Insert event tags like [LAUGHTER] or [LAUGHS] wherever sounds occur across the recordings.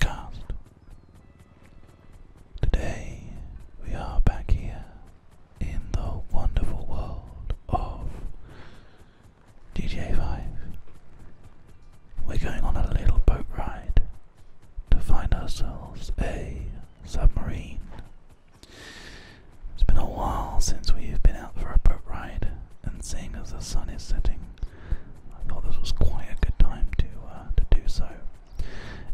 Cast. Today we are back here in the wonderful world of DJ5. We're going on a little boat ride to find ourselves a submarine. It's been a while since we've been out for a boat ride, and seeing as the sun is setting, I thought this was quite a good time to uh, to do so.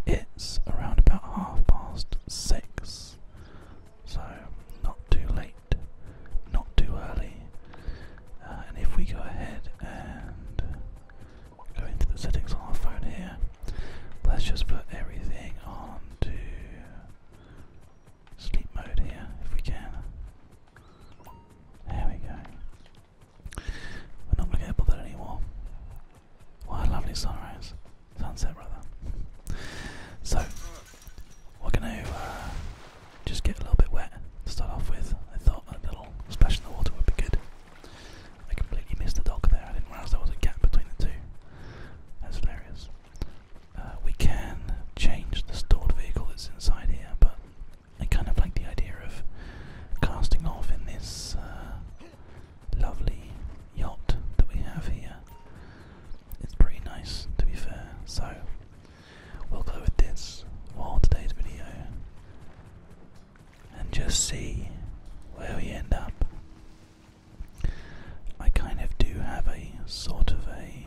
It's around about half past six, so not too late, not too early. Uh, and if we go ahead and go into the settings on our phone here, let's just put everything on sleep mode here if we can. There we go. We're not going to get bothered anymore. What a lovely sunrise. Sunset, rather. So, we're going to uh, just get a little bit wet to start off with. I thought a little splash in the water would be good. I completely missed the dock there. I didn't realize there was a gap between the two. That's hilarious. Uh, we can change the stored vehicle that's inside here, but I kind of like the idea of casting off in this uh, lovely yacht that we have here. It's pretty nice, to be fair. So we'll go with this for today's video and just see where we end up. I kind of do have a sort of a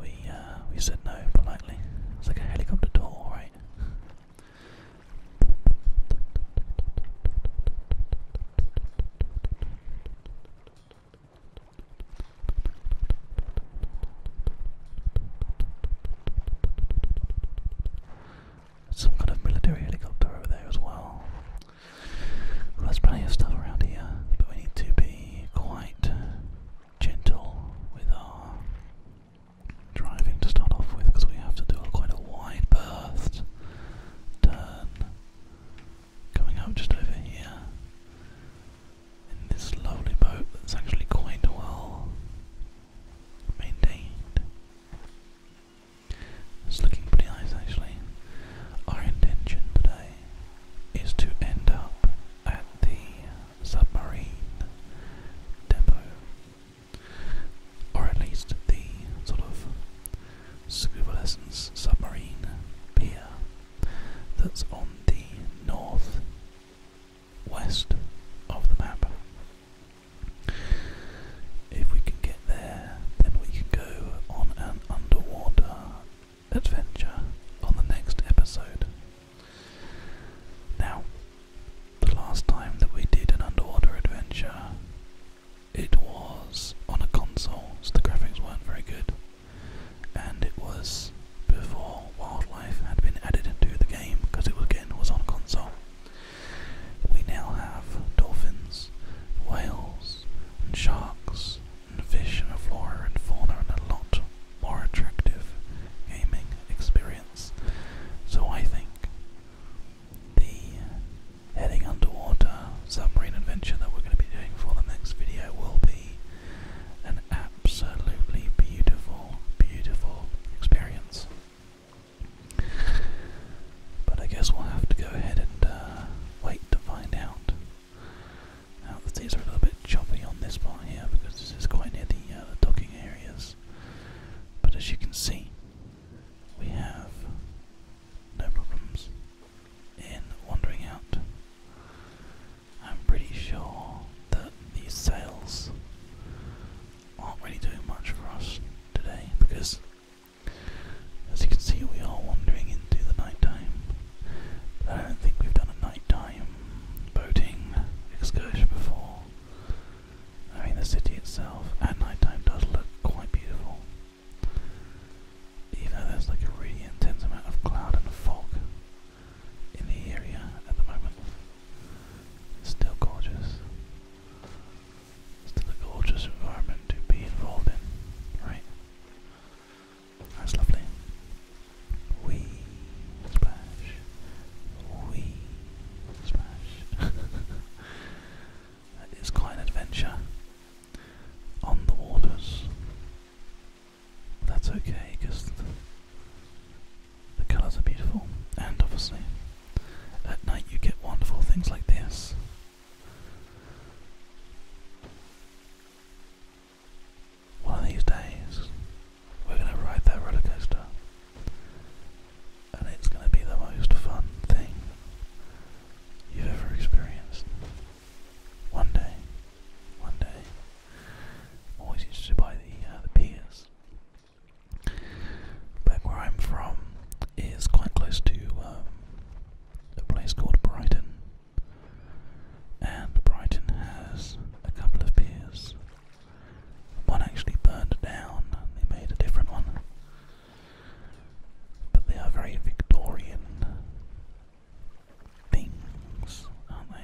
we uh, we said no politely. It's like a helicopter door, right? Some kind of military helicopter over there as well. There's plenty of stuff around here, but we need to be quite gentle with our driving to start off with because we have to do a quite a wide berth turn coming up just over here in this lovely boat that's actually quite well maintained. It's looking pretty nice actually. Our intention today is to end up at the submarine depot, or at least the sort of scuba submarine pier that's on the north west of the map. If we can get there, then we can go on an underwater adventure on the next episode. Now, the last time that we did an underwater adventure, it was on a console, so the graphics weren't very good, and it was before wildlife had been added into the game because it again was on a console. We now have dolphins, whales, and sharks, and fish, and flora and fauna, and a lot more attractive gaming experience. So I think the heading underwater submarine adventure that we're going to be doing for the next video will be an absolutely beautiful, beautiful experience. But I guess we'll have to go ahead and uh, wait to find out now the seas are a little bit choppy on this part here because this is quite near uh, the, docking areas. But as you can see, we have no problems in wandering out. I'm pretty sure that these sails aren't really doing much for us today because, as you can see, we are wandering into the night time. I don't think we've done a nighttime boating excursion before. I mean, the city itself at nighttime does look quite beautiful. Even though there's like a really intense amount of cloud and fog in the area at the moment, it's still gorgeous. Still a gorgeous environment to be involved in, right? That's lovely. Wee splash. Wee splash. [LAUGHS] that is quite an adventure. On the waters. That's okay because the colours are beautiful, and obviously, at night you get wonderful things like this. One of these days, we're going to ride that roller coaster, and it's going to be the most fun thing you've ever experienced. One day, one day, always used to buy the, uh, the piers. Back where I'm from is quite close to um, a place called Brighton, and Brighton has a couple of piers. One actually burned down, they made a different one. But they are very Victorian things, aren't they?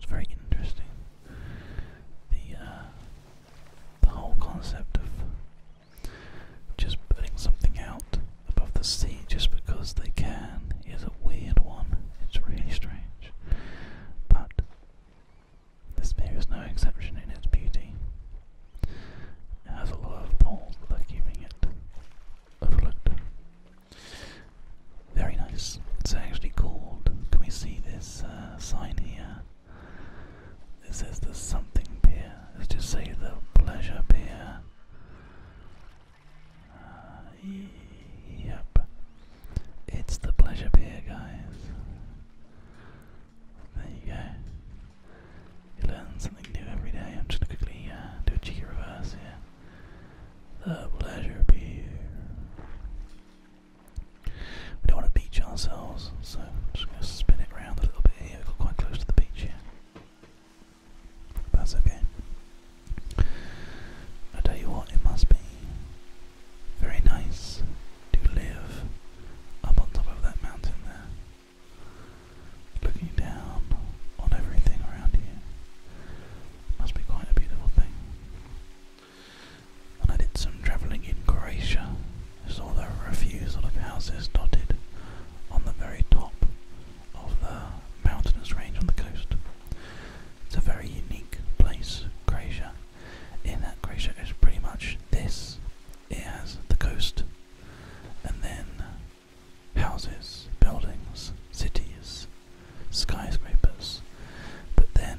It's very interesting. The uh, the whole concept of just putting something out above the sea just because they can is a weird one. It's really strange. But this view is no exception in its beauty. It has a lot of poles that are it overlooked. Very nice. It's actually called, can we see this uh, sign here? It says there's something pier. let to just say the pleasure pier. Uh, yep. It's the pleasure beer, guys. There you go. You learn something new every day. I'm just going to quickly uh, do a cheeky reverse here. The pleasure beer. We don't want to beach ourselves, so I'm just going to spin it around a little bit here. got quite close to the beach here. That's okay. I tell you what, it must be very nice to live up on top of that mountain there, looking down on everything around you. Must be quite a beautiful thing. And I did some travelling in Croatia. saw there were a few sort of houses dotted on the very top of the mountainous range on the coast. It's a very unique place, Croatia, in Croatia it's pretty much this. It has the coast, and then houses, buildings, cities, skyscrapers, but then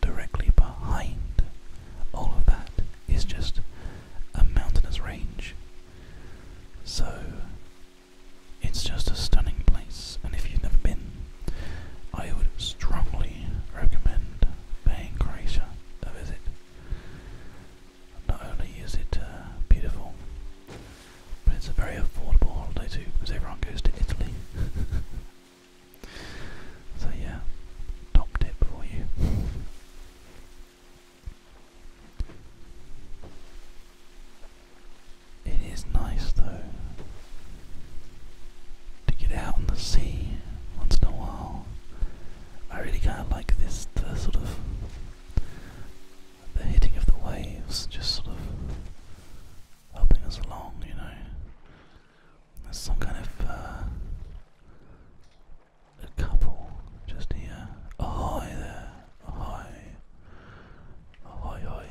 directly behind all of that is just a mountainous range. So it's just a stunning place, and if you've never been, I would strongly recommend paying Croatia a visit. Not only is it uh, beautiful, but it's a very affordable holiday too, because everyone goes to Italy. [LAUGHS] so yeah, top tip for you. It is nice though to get out on the sea once in a while. I really kind of like this, the sort of the hitting of the waves, just sort of helping us along, you know. There's some kind of uh, a couple just here. Ahoy oh, there! Hi. hi, hi.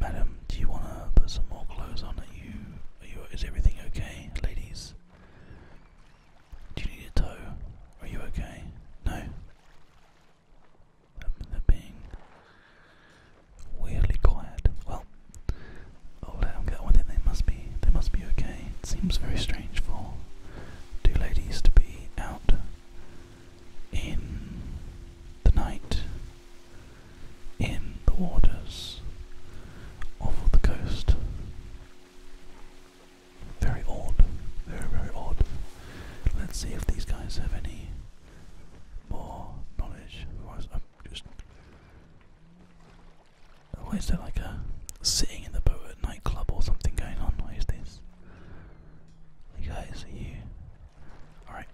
Madam, do you want to put some more clothes on? you, you, is everything okay, ladies? Do you need a toe? Are you okay? No? they're being weirdly quiet. Well, I'll let They must be, they must be okay. It seems very strange for two ladies to be out in the night, in the waters off the coast. Very odd, very, very odd. Let's see if these guys have any more knowledge. Otherwise, I'm just. Why is there like a sitting in the boat at nightclub or something going on? Why is this? You guys, are you? Alright.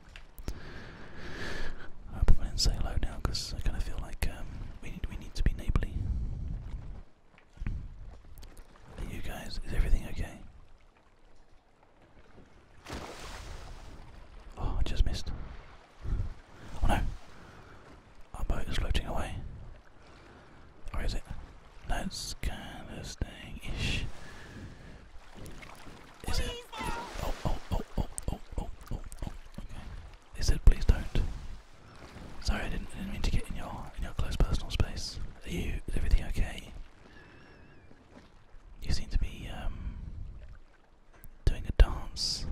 I hope I didn't say hello now because I kind of feel like um, we, need, we need to be neighborly. Are you guys? Is everything okay? Oh, I just missed. Oh no! Our boat is floating away. Or is it? That's kind of strange. Is it? Oh, oh, oh, oh, oh, oh, oh, oh, okay. Is it? Please don't. Sorry, I didn't, I didn't mean to get in your in your close personal space. Are you? Is everything okay? You seem to be um, doing a dance.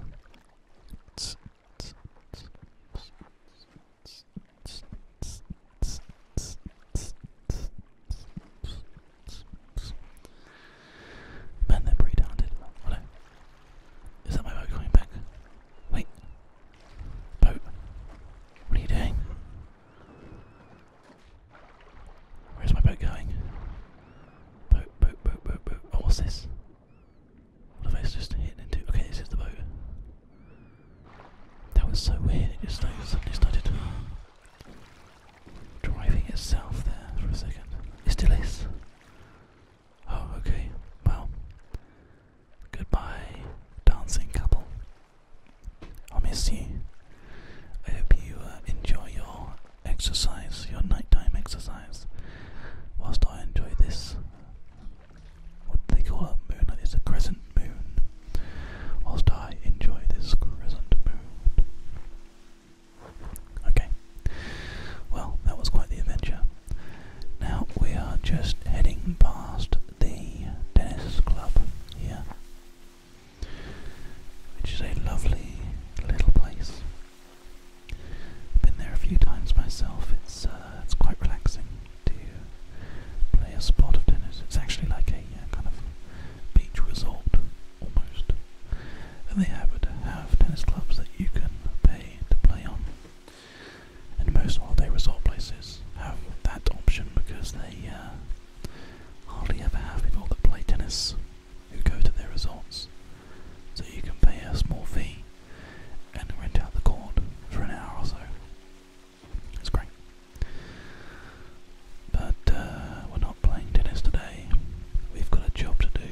Man, they're pretty talented. Oh Is that my boat coming back? Wait. Boat. What are you doing? Where's my boat going? Boat, boat, boat, boat, boat. Oh, what's this? What have I just hit into? Okay, this is the boat. That was so weird, it just like, suddenly started driving itself there for a second. It still is. Oh, okay. Well, goodbye, dancing couple. I'll miss you. I hope you uh, enjoy your exercise, your nighttime exercise, whilst I enjoy this what they call a moon? is a crescent moon. Whilst I enjoy this crescent moon. Okay. Well, that was quite the adventure. Now we are just heading past the tennis club here, which is a lovely little place. Been there a few times myself. It's uh, it's quite relaxing to play a spot of tennis. It's actually like a uh, kind of beach resort almost. And they have, have tennis clubs that you can pay to play on. And most holiday resort places have that option because they uh, hardly ever have people that play tennis who go to their resorts. So you can pay a small fee and rent out the court for an hour or so. It's great. But uh, we're not playing tennis today. We've got a job to do.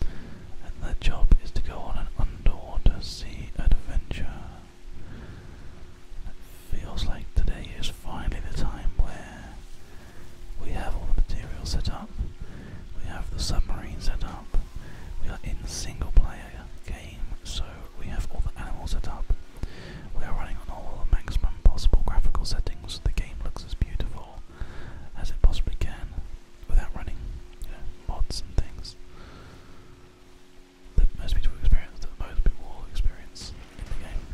And that job is to go on an underwater sea adventure. It feels like today is finally the time where we have all the material set up. We have the submarine set up. We are in single player game, so we have all the animals set up. We are running on all the maximum possible graphical settings. The game looks as beautiful as it possibly can without running, mods and things. The most beautiful experience that most people experience in the game.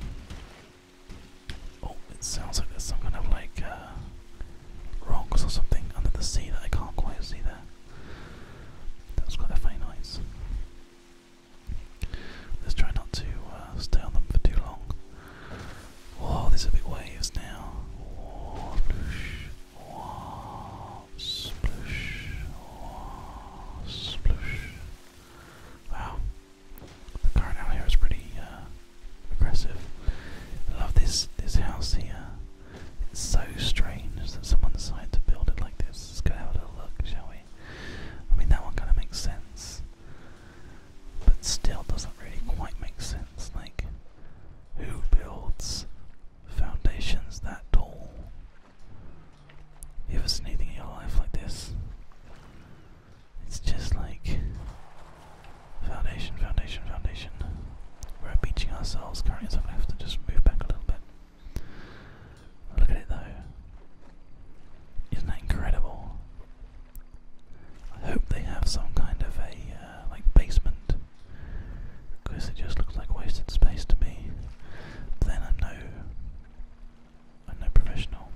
Oh, it sounds like there's some kind of like uh, rocks or something under the sea that I can't quite see there. That's quite a funny noise. Let's try not to uh, stay on them for too long. Whoa, these are big waves now. Wow, the current out here is pretty uh, aggressive. I love this this house here. It's so strange that someone decided to build it like this. Let's go have a look, shall we? I mean, that one kind of makes sense. But still doesn't really quite make sense. Like, who builds foundations that tall? You ever seen anything in your life like this? It's just like foundation, foundation, foundation. We're beaching ourselves currently, so I'm going to have to just move back a little bit. Look at it though. Isn't that incredible? I hope they have some kind of a uh, like basement, because it just looks like wasted space to me. But then I'm no, I'm no professional.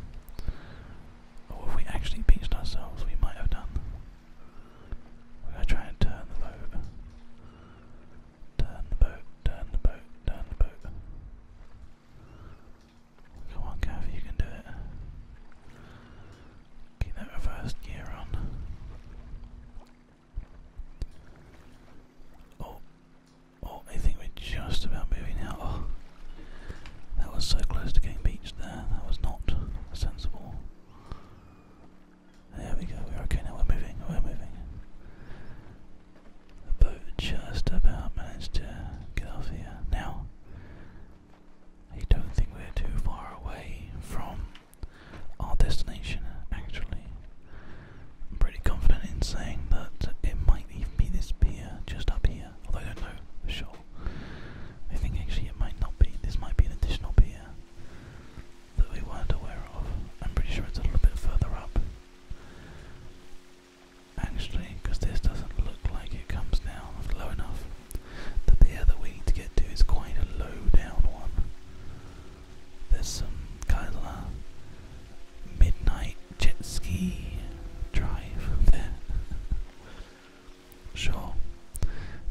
Or if we actually beached ourselves, we might have done. We're gonna try and turn the boat. Turn the boat, turn the boat, turn the boat. Come on, Gav, you can do it. Get that reverse gear on. Oh, oh, I think we're just about moving out. Oh, that was so close to getting beached there. That was not sensible. There we go, we're okay now, we're moving, we're moving. The boat just about managed to get off here. Now, I don't think we're too far away from our destination, actually. I'm pretty confident in saying that it might even be this pier just up here, although I don't know for sure. I think actually it might not be, this might be an additional pier that we weren't aware of. I'm pretty sure it's a little bit further up. Actually, because this doesn't look like it comes down low enough. The pier that we need to get to is quite a low down one. There's some kind of midnight jet ski drive there. [LAUGHS] sure,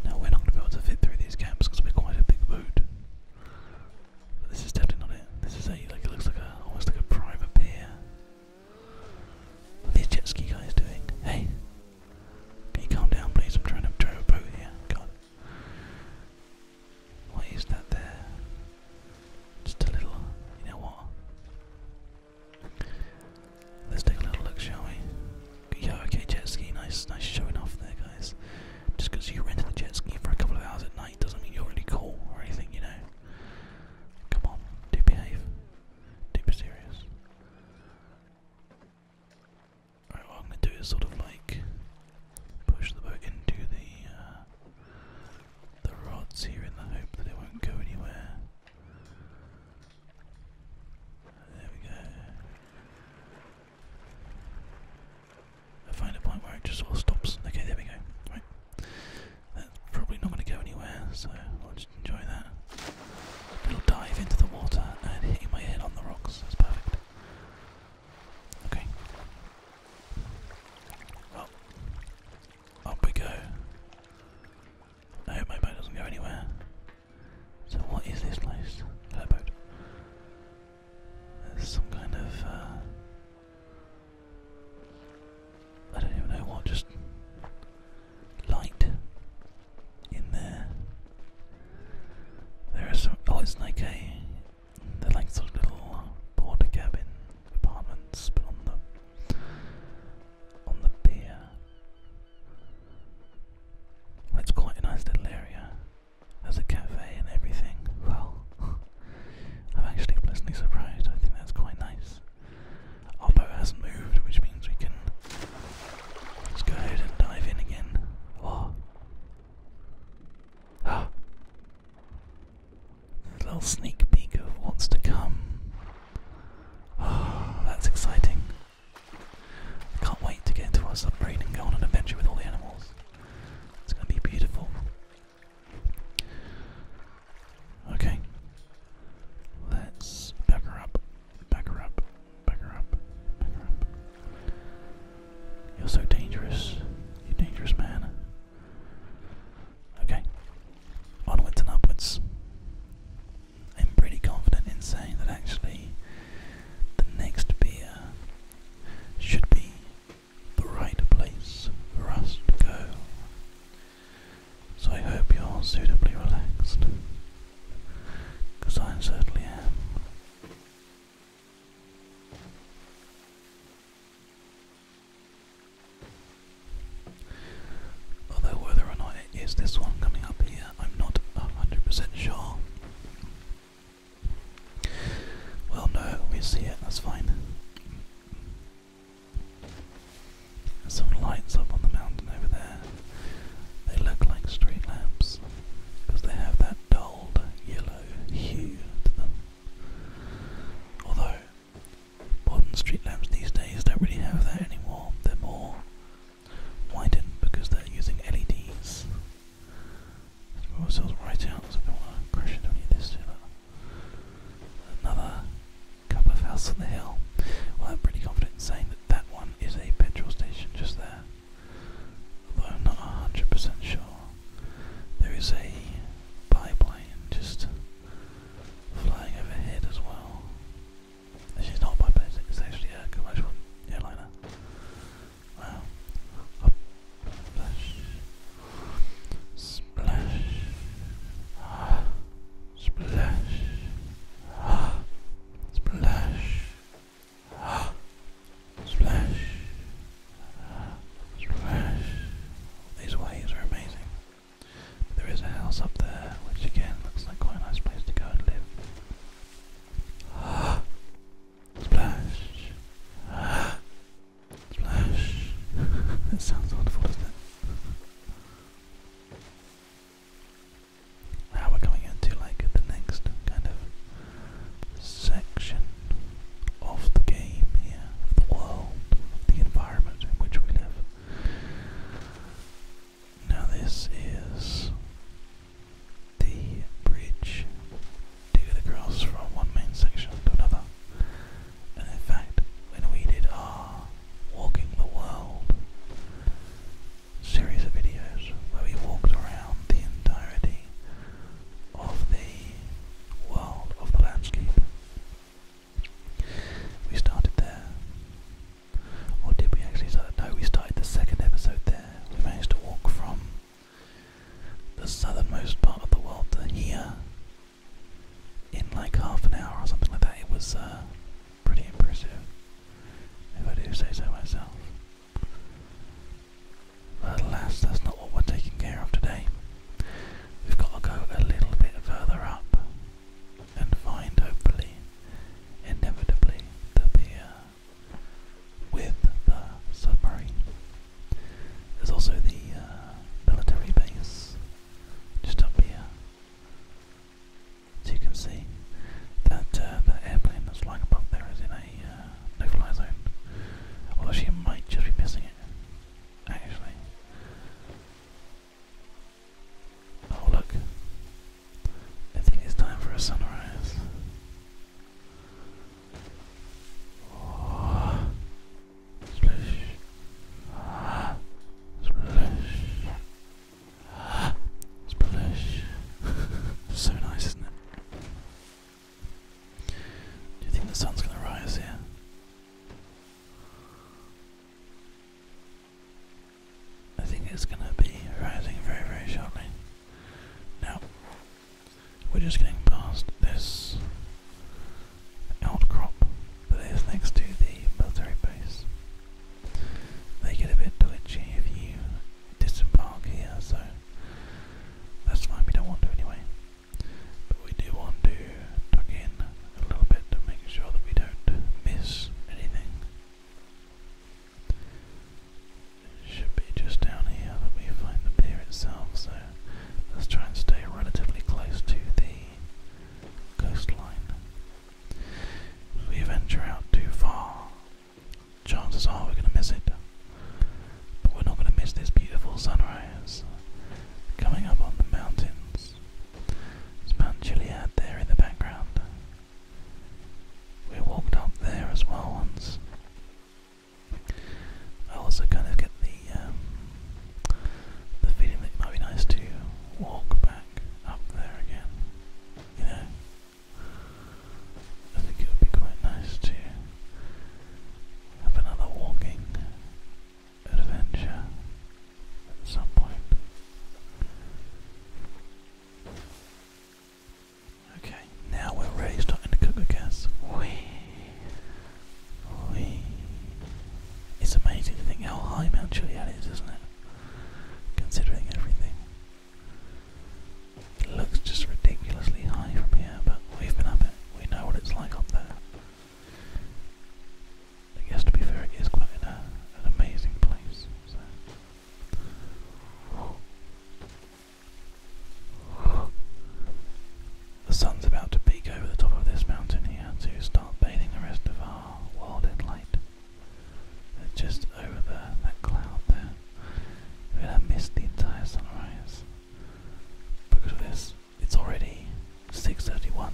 now we're not going to be able to fit through these gaps because we're quite a big boat. But this is definitely not it. This is a like it looks like a almost like a private pier. What are these jet ski guys doing? Hey, can you calm down, please? I'm trying to drive a boat here. God, what is that there? Just a little. You know what? Let's take a little look, shall we? Yeah, okay, jet ski, nice, nice showing off there, guys. Just because you rented the jet ski for a couple of hours at night doesn't mean you're really cool or anything, you know. Come on, do behave. Do be serious. Alright, what I'm going to do is sort of like push the boat into the uh, the rods here in the hope that it won't go anywhere. There we go. I find a point where it just all stops. Okay, there we go. Right. That's probably not going to go anywhere, so I'll just enjoy that. little dive into the water and hitting my head on the rocks. That's perfect. Okay. Well, up we go. I hope my boat doesn't go anywhere. So what is this place? Hello some kind of uh, I don't even know what, just light in there. There are some oh it's like a they're like sort of little border cabin apartments but on the on the pier. it's quite a nice little area. There's a cafe and everything. Well, [LAUGHS] I'm actually pleasantly surprised. I think that's quite nice. Our boat hasn't moved, which means we can just go ahead and dive in again. Oh. Ah. [GASPS] A little sneak peek of what's to come. Oh, [SIGHS] that's exciting. I can't wait to get into our submarine and go on an adventure with all the animals. It's going to be beautiful. Okay. Let's back her up. Back her up. Back her up. Back her up. You're so dangerous. You dangerous man. Okay. Onwards and upwards. I'm pretty confident in saying that actually the next beer should be the right place for us to go. So I hope you're suitably relaxed, because I certainly am. Although whether or not it is this one coming up here I'm not 100% sure. Well, no, we see it, that's fine. some lights up on the mountain over there. They look like street lamps because they have that dulled yellow hue to them. Although modern street lamps these days don't really have that anymore. They're more why lighted because they're using LEDs. It sells right out, so I do want to crash into this Another couple of houses on the hill. Well, I'm pretty confident saying that that one is a petrol station just there. Although I'm not 100% sure. There is a biplane just flying overhead as well. This is not a pipette, it's actually a commercial airliner. Wow. Splash. Splash. Splash. Splash. Splash. Splash. These waves are amazing. there is a house up there, which again looks like quite a nice place to go and live. Splash. [GASPS] Splash. [LAUGHS] that sounds wonderful, doesn't it? Now we're going into like the next kind of section of the game here, of the world, the environment in which we live. Now, this is the bridge taken across from one main section to another. And in fact, when we did our Walking the World series of videos, where we walked around the entirety of the world of the landscape, we started there or did we actually start? No, we started the second episode there. We managed to walk from the southernmost part of the world to here in like half an hour or something like that. It was uh, pretty impressive, if I do say so myself. But alas, that's not what we're taking care of today. We've got to go a little bit further up and find, hopefully, inevitably the pier uh, with the submarine. There's also the uh, military base just up here. So you can see that uh, the airplane that's flying above there is in a no-fly zone. Although she might just be missing it, actually. Oh look, I think it's time for a sunrise. Oh. Splish. Ah. so nice, isn't it? Do you think the sun's going to rise here? I think it's going to be rising very, very shortly. Now, we're just getting past this outcrop that is next to the military base. They get a bit glitchy if you disembark here, so that's fine, we don't want to anyway. But we do want to tuck in a little bit to make sure that we don't miss anything. Should be just down here. Let me find the pier itself. So let's try and stay relatively close to the coastline. If we venture out too far, chances are we're going to miss it. But we're not going to miss this beautiful sunrise coming up on the mountains. There's Mount Chiliad there in the background. We walked up there as well once. I also kind of get the um, the feeling that it might be nice to walk back up there again. You know, I think it would be quite nice to have another walking adventure at some point. Okay, now we're ready starting to cook the gas. Whee. Whee. It's amazing to think how high Mount Chiliad is, isn't it? Considering everything. It looks just ridiculously high from here, but we've been up it. We know what it's like up there. I guess to be fair, it is quite an, uh, amazing place. The sun's about to peek over the top of this mountain here to start bathing the rest of our world in light. It's just over there, that cloud there. We're gonna miss the entire sunrise because of It's already 6:31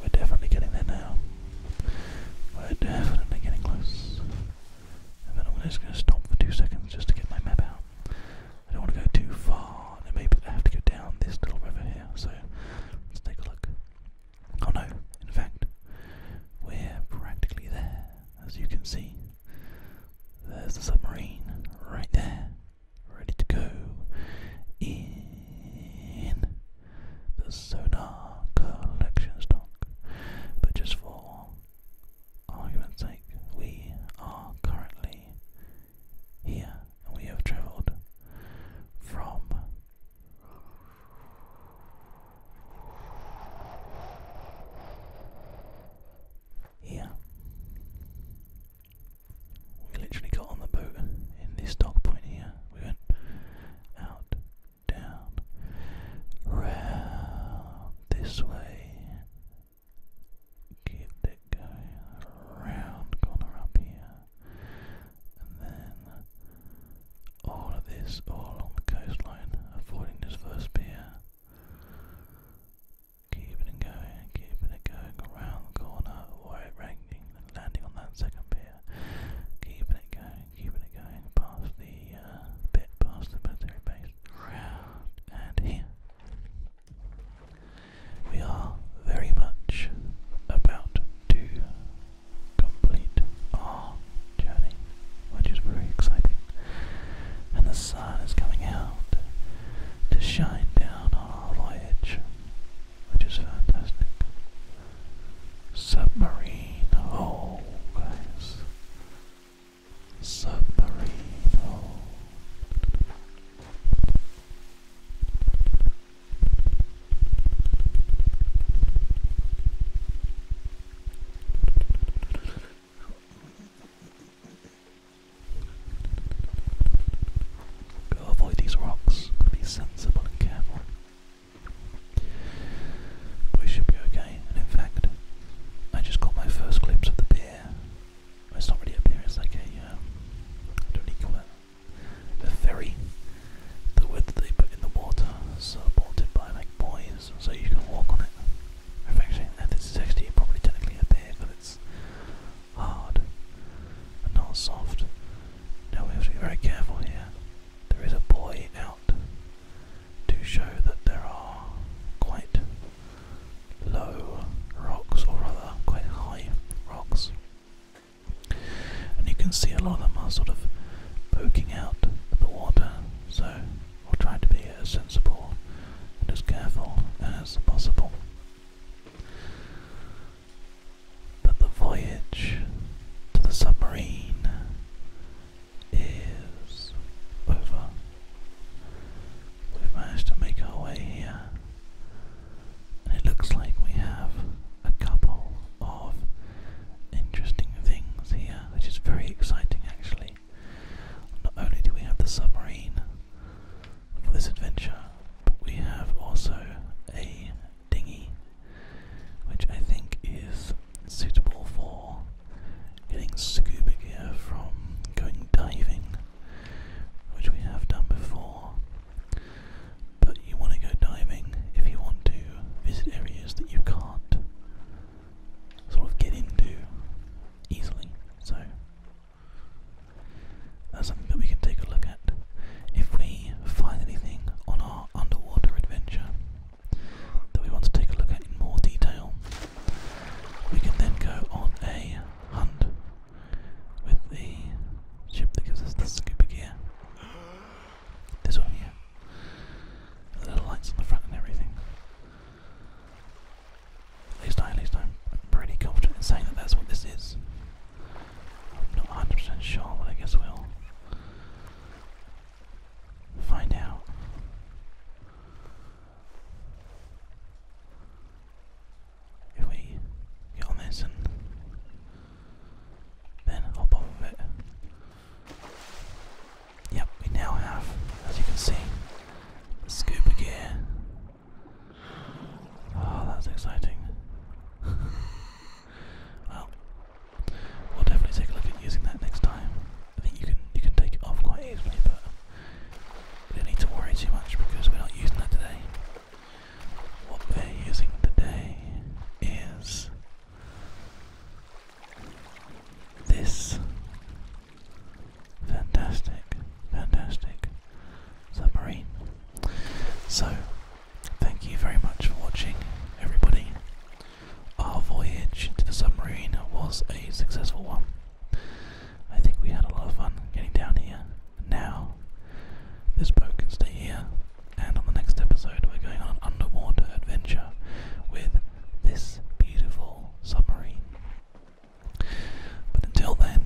We're definitely getting there now. We're definitely getting close. And then I'm just going to stop for two seconds just to get my map out. I don't want to go too far. And maybe I have to go down this little river here. So let's take a look. Oh no, in fact, we're practically there, as you can see. There's the submarine right there, ready to go in the sonar collection stock. But just for argument's sake, we are currently here and we have travelled from yeah, we literally got on the boat in this dock point here. We went out, down, round this way. Keep it going around corner up here, and then all of this all along the coastline, avoiding this first pier. Keeping it going, keeping it going around the corner, avoid ranking landing on that second pier. Keeping it going, keeping it going past the uh, bit, past the military base, and here. We are very much about to complete our journey, which is very exciting. And the sun is coming out to shine down on our voyage, which is fantastic. Submarine hole, guys. Submarine hole. Go avoid these rocks. Be sensible and careful. We should be okay. And in fact, I just got my first glimpse of the pier. It's not really a pier. It's like a um, I don't call it a ferry. The wood that they put in the water supported by like buoys, so you can walk on it. In fact, this is actually probably technically a beer because it's hard and not soft. Now we have to be very careful here. There is a boy out to show that there are quite low rocks, or rather quite high rocks. And you can see a lot of them are sort of poking out of the water, so or try to be as sensible and as careful as possible. But the voyage to the submarine is over. We've managed to make our way here, and it looks like we have a couple of interesting things here, which is very exciting actually. Not only do we have the submarine for this adventure, but we have also a dinghy, which I think is suitable for getting scuba gear from going diving, which we have done before. But you want to go diving if you want to visit areas that you can't sort of get into easily. So that's something that we can take a look at. If we find anything on our underwater adventure that we want to take a look at in more detail, we can then go on a hunt with the ship that gives us the scuba gear. This one here. The lights on the front and everything. At least, I, at least I'm pretty confident in saying that that's what this is. I'm not 100% sure, but I guess we'll find out. If we get on this and then hop off it. Yep, we now have, as you can see, the scuba gear. Oh, that's exciting. [LAUGHS] well, we'll definitely take a look at using that next time. I think you can you can take it off quite easily, but don't need to worry too much because we're not using that today. What we're using today is this fantastic, fantastic submarine. So, thank you very much for watching, everybody. Our voyage to the submarine was a successful one. I think we had a lot of fun getting down here. Now, this boat can stay here, and on the next episode, we're going on an underwater adventure with this beautiful submarine. But until then,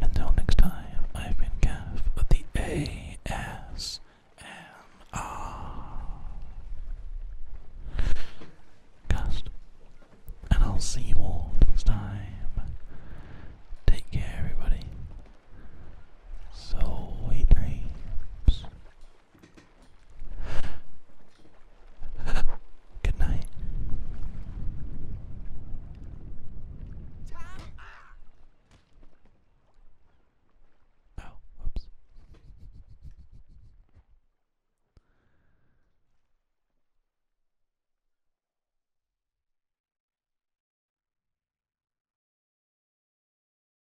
until next time, I've been Gav of the ASMR Cast, and I'll see you all next time. Take care, everybody. So, sweet dreams. Good night. Oh, whoops.